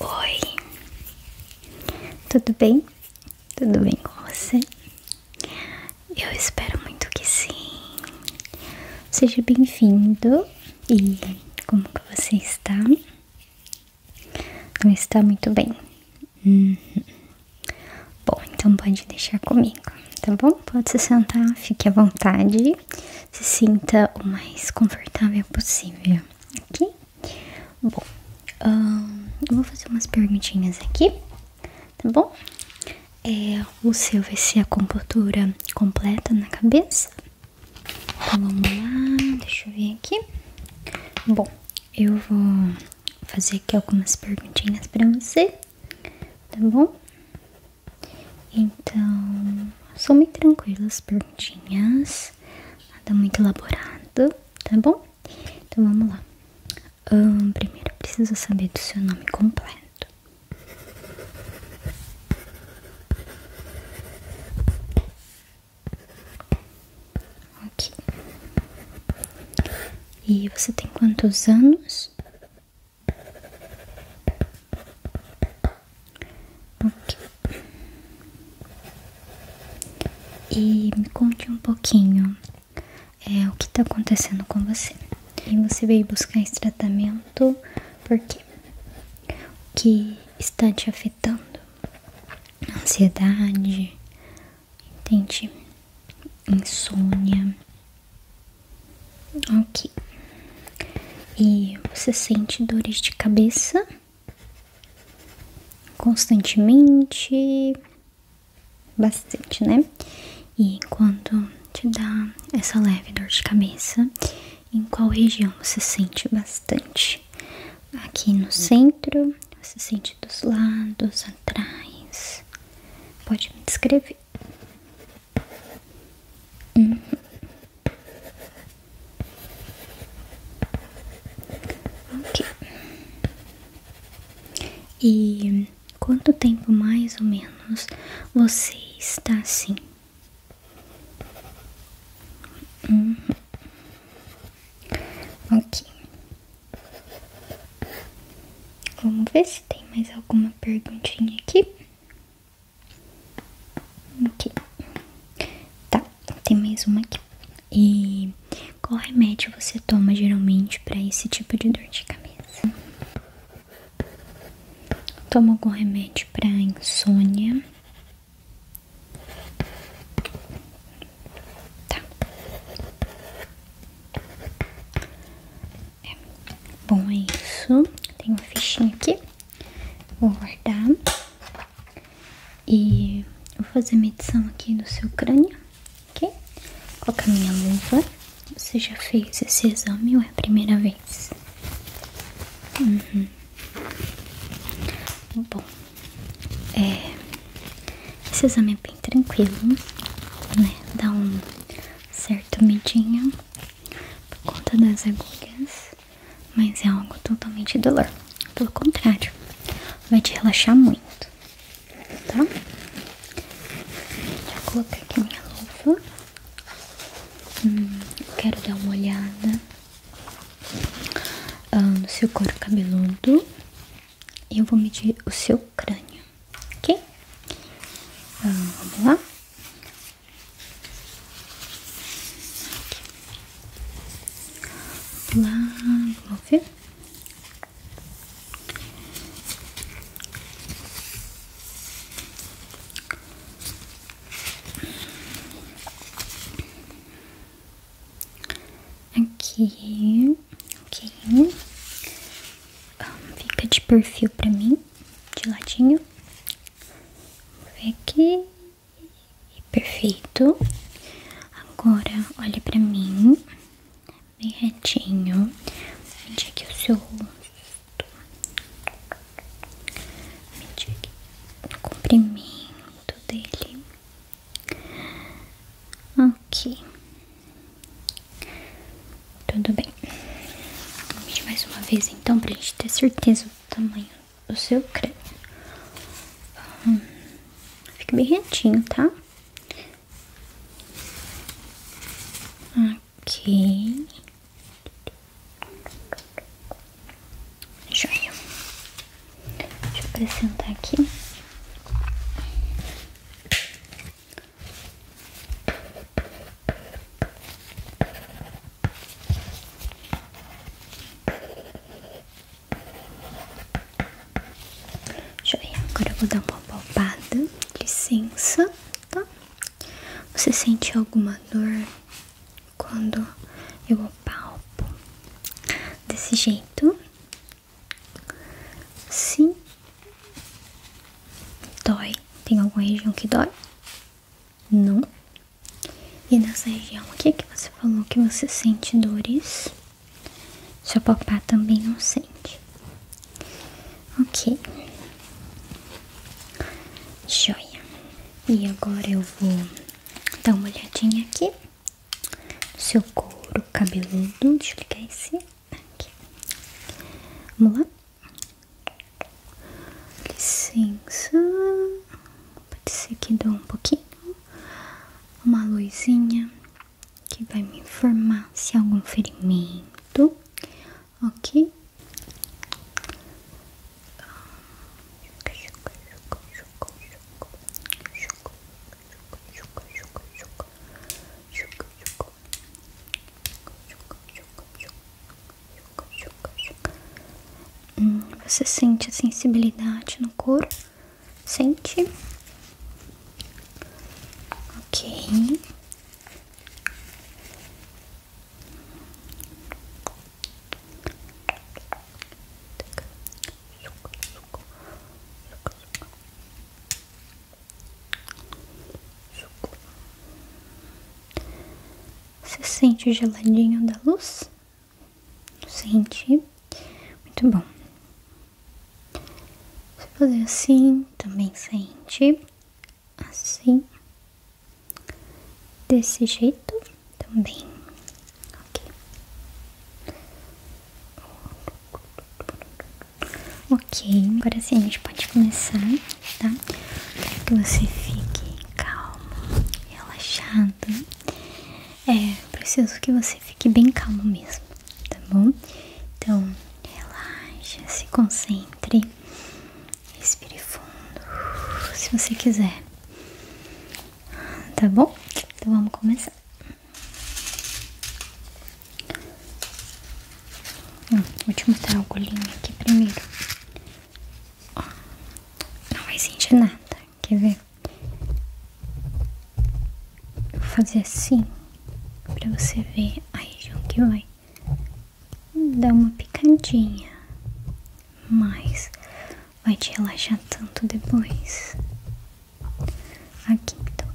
Oi, tudo bem? Tudo bem com você? Eu espero muito que sim. Seja bem-vindo. E como que você está? Não está muito bem. Uhum. Bom, então pode deixar comigo, tá bom? Pode se sentar, fique à vontade se sinta o mais confortável possível, ok? Bom, eu vou fazer umas perguntinhas aqui, tá bom? É, o seu vai ser a compostura completa na cabeça. Então, vamos lá, deixa eu ver aqui. Bom, eu vou fazer aqui algumas perguntinhas pra você, tá bom? Então, some tranquilas perguntinhas, nada muito elaborado, tá bom? Então vamos lá. primeiro, preciso saber do seu nome completo. Ok. E você tem quantos anos? Ok. E me conte um pouquinho é, o que está acontecendo com você. E você veio buscar esse tratamento porque o que está te afetando? Ansiedade, Insônia, Ok. E você sente dores de cabeça constantemente? Bastante, né? E quando te dá essa leve dor de cabeça, em qual região você sente bastante? Aqui no centro, você sente dos lados, atrás. Pode me descrever. Ok. E quanto tempo mais ou menos você está assim? Hum. Ok. Vamos ver se tem mais alguma perguntinha aqui. Ok. Tá, tem mais uma aqui. E qual remédio você toma geralmente para esse tipo de dor de cabeça? Toma algum remédio para insônia? Tá. Bom, é isso. Tem uma fichinha aqui. Vou guardar. E vou fazer a medição aqui do seu crânio, ok? Colocar minha luva. Você já fez esse exame ou é a primeira vez? Uhum. Bom, é, esse exame é bem tranquilo, né? Dá um certo medinho, por conta das agulhas, mas é algo totalmente dolor. Pelo contrário, vai te relaxar muito, tá? Vou colocar aqui minha luva. Hum, quero dar uma olhada ah, no seu couro cabeludo. E eu vou medir o seu crânio, ok? Ah, vamos lá? Lá, vamos ver. Aqui, ok. Um, fica de perfil pra mim assim, de ladinho. Vem aqui. Perfeito. Agora, olhe pra mim. Bem retinho. Mede aqui é é o seu é comprimento dele. Ok. Tudo bem. mais uma vez então pra gente ter certeza do tamanho do seu crânio. Hum, fica bem retinho, tá? Ok. Joia. Deixa eu acrescentar aqui. Joia, agora eu vou dar uma palpada, licença, tá? Você sente alguma dor quando eu palpo desse jeito? Sim, Dói? Tem alguma região que dói? Não. E nessa região aqui que você falou que você sente dores? Seu papai também não sente. Ok. Joia. E agora eu vou dar uma olhadinha aqui. Seu couro cabeludo. Deixa eu ligar esse aqui. Vamos lá? Licença. Pode ser que dê um pouquinho. Uma luzinha que vai me informar se há algum ferimento. Ok? Hum, você sente a sensibilidade no couro? Sente? Ok. Você sente o geladinho da luz? Sente? Muito bom. Você fazer assim, também sente. Assim. Desse jeito também. Ok. Ok, agora sim a gente pode começar, tá? Quero que você fique calmo, relaxado. É, preciso que você fique bem calmo mesmo, tá bom? Então, relaxa, se concentre, respire fundo, se você quiser, tá bom? Então vamos começar. Hum, vou te mostrar o golinho aqui primeiro. Ó, não vai sentir nada, quer ver? Vou fazer assim, pra você ver aí região que vai hum, dar uma picadinha. Mas vai te relaxar tanto depois. Aqui então.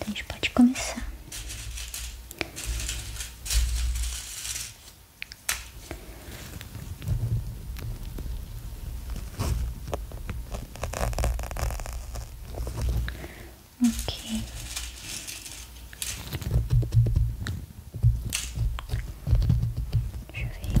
a gente pode começar. Ok. Deixa eu ver aqui.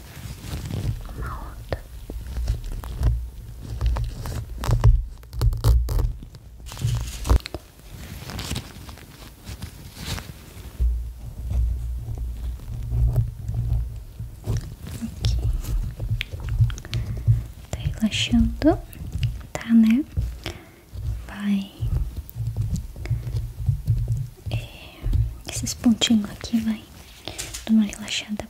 uma outra. Aqui. Tá relaxando, tá, né? Vai. É, esses pontinhos aqui vai dar uma relaxada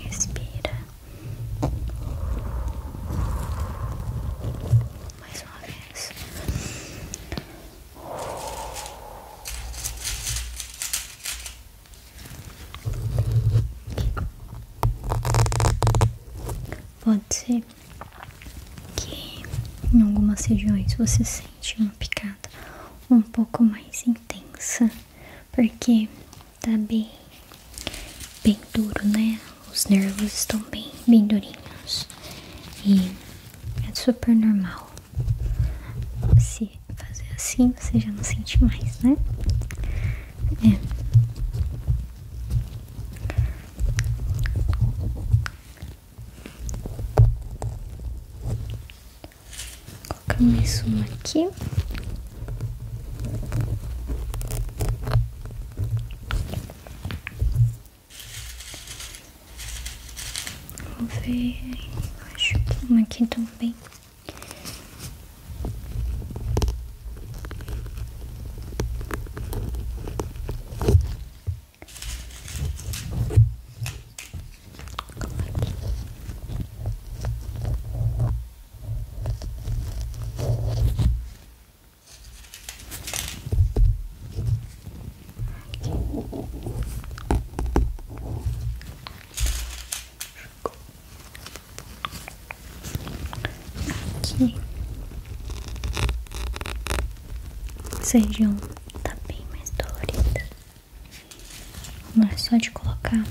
Respira. Mais uma vez. Pode ser que em algumas regiões você sente uma picada um pouco mais intensa, porque Tá bem, bem duro, né? Os nervos estão bem, bem durinhos. E é super normal. Se fazer assim, você já não sente mais, né? É. Colocar uma aqui. Vou ver, acho uma aqui também. Aqui. Essa região tá bem mais dolorida. Agora só de colocar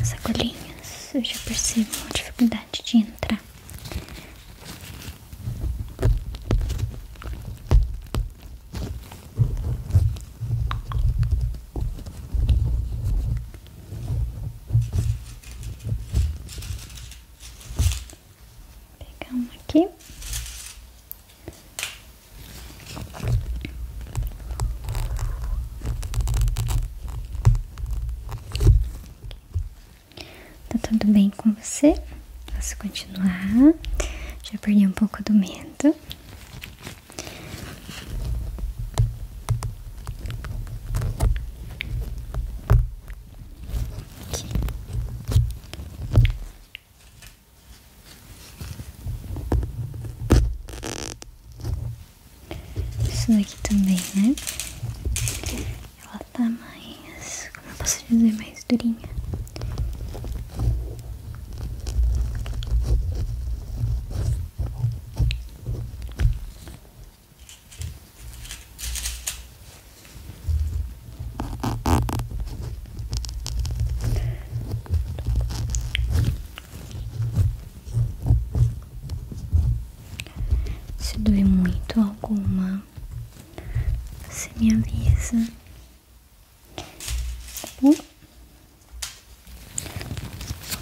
as agulhinhas, eu já percebo a dificuldade de entrar. Vou aqui Tá tudo bem com você? Posso continuar? Já perdi um pouco do medo. Isso aqui também, né? Ela tá mais. Como eu posso dizer, mais durinha. Se doer muito alguma, você me avisa.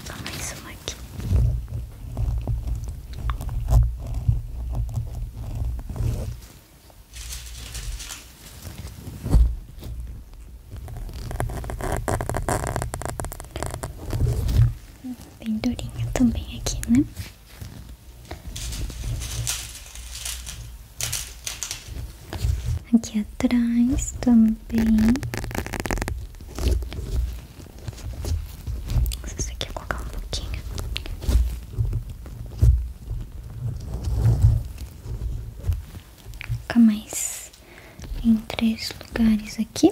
Tá mais uma aqui. Bem durinha também aqui, né? Aqui atrás também. Isso aqui é colocar um pouquinho. Fica mais em três lugares aqui.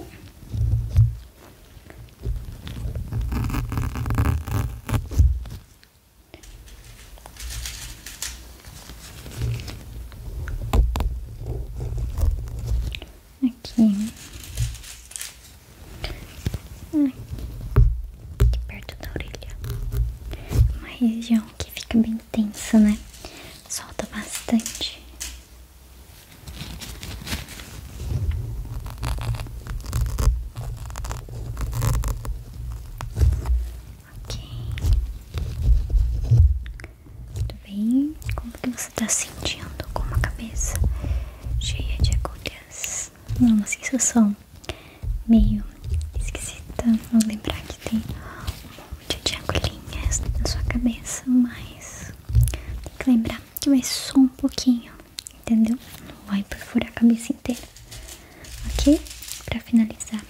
Aqui. Aqui perto da orelha. Uma região que fica bem tensa, né? Solta bastante. Ok. Tudo bem? Como que você está sentindo com a cabeça cheia de agulhas? Não, uma sensação meio esquisita. Vou lembrar que tem um monte de agulhinhas na sua cabeça, mas tem que lembrar que vai só um pouquinho, entendeu? Não vai perfurar a cabeça inteira. Ok? Pra finalizar,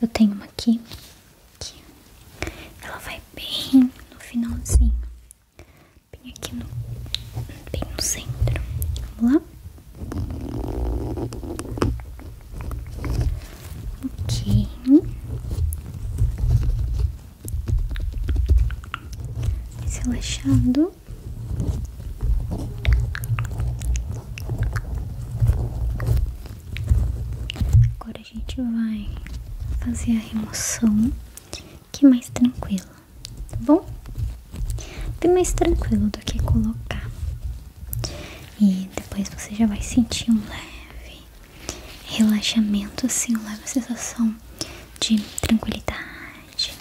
eu tenho uma aqui que ela vai bem no finalzinho, bem aqui no, bem no centro. Vamos lá? Ok, relaxado. Agora a gente vai fazer a remoção que mais tranquila, tá bom? Bem mais tranquilo do que colocar e depois você já vai sentir um leve relaxamento, assim, uma leve sensação de tranquilidade.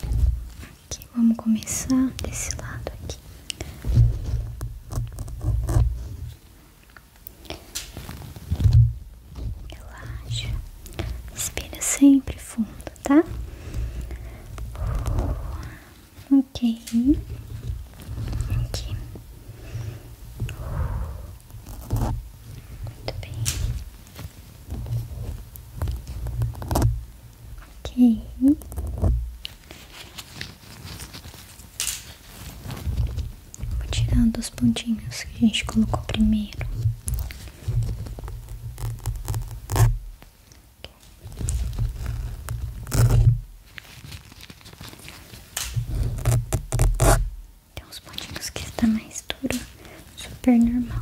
Aqui, vamos começar desse lado aqui. Relaxa. Respira sempre fundo, tá? Ok. Aqui. Muito bem. Ok. Vou tirando os pontinhos que a gente colocou primeiro. Tem uns pontinhos que está mais duro, super normal.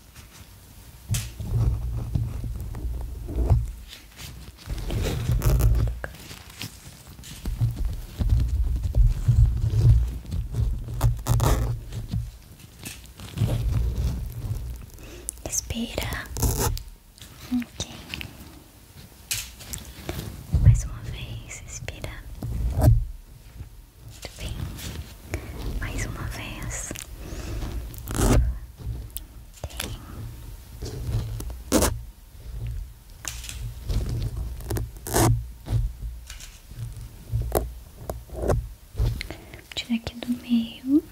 Respira. Ok. Mais uma vez, respira. Muito bem, mais uma vez. Tem. Tira aqui do meio.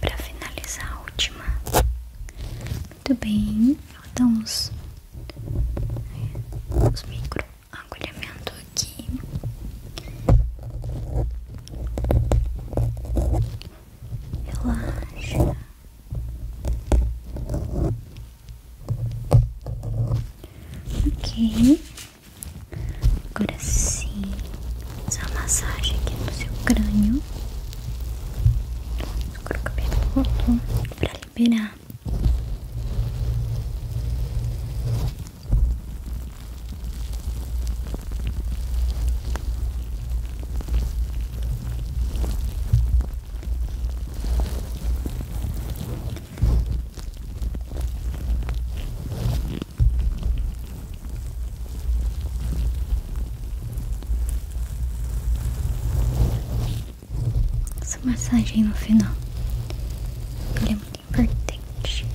Para finalizar a última. Muito bem, faltam os, micro agulhamento aqui. Relaxa. Ok. Agora sim, essa massagem aqui no seu crânio. Agora o cabelo voltou para liberar. Essa massagem no final é muito importante.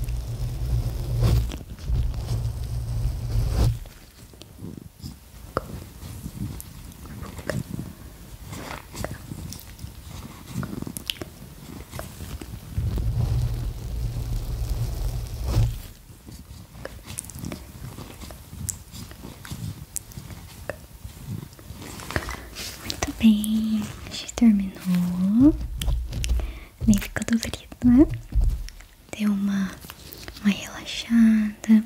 Muito bem, a gente terminou. Nem ficou dolorido, né? Deu uma, mais relaxada,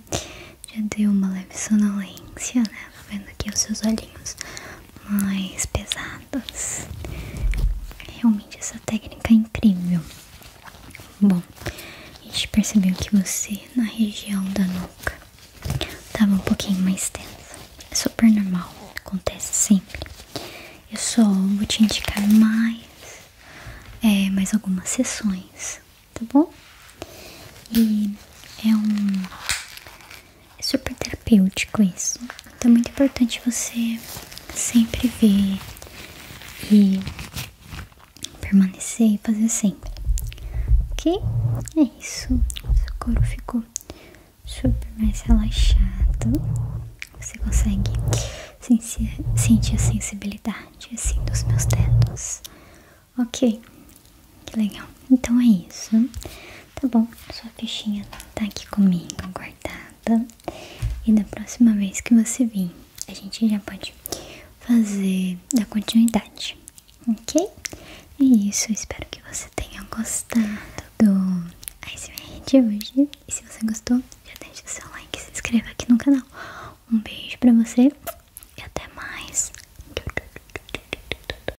já deu uma leve sonolência, né? Vendo aqui os seus olhinhos mais pesados. Realmente essa técnica é incrível. Bom, a gente percebeu que você na região da nuca estava um pouquinho mais tensa. É super normal, acontece sempre. Eu só vou te indicar mais, é, mais algumas sessões, tá bom? E é um é super terapêutico isso. Então é muito importante você sempre ver e permanecer e fazer sempre. Ok? É isso. Seu couro ficou super mais relaxado. Você consegue sentir, sentir a sensibilidade assim dos meus dedos. Ok, que legal. Então é isso. Tá bom, sua fichinha tá aqui comigo, guardada. E da próxima vez que você vir, a gente já pode fazer da continuidade, ok? É isso, espero que você tenha gostado do ASMR de hoje. E se você gostou, já deixa o seu like e se inscreva aqui no canal. Um beijo pra você e até mais.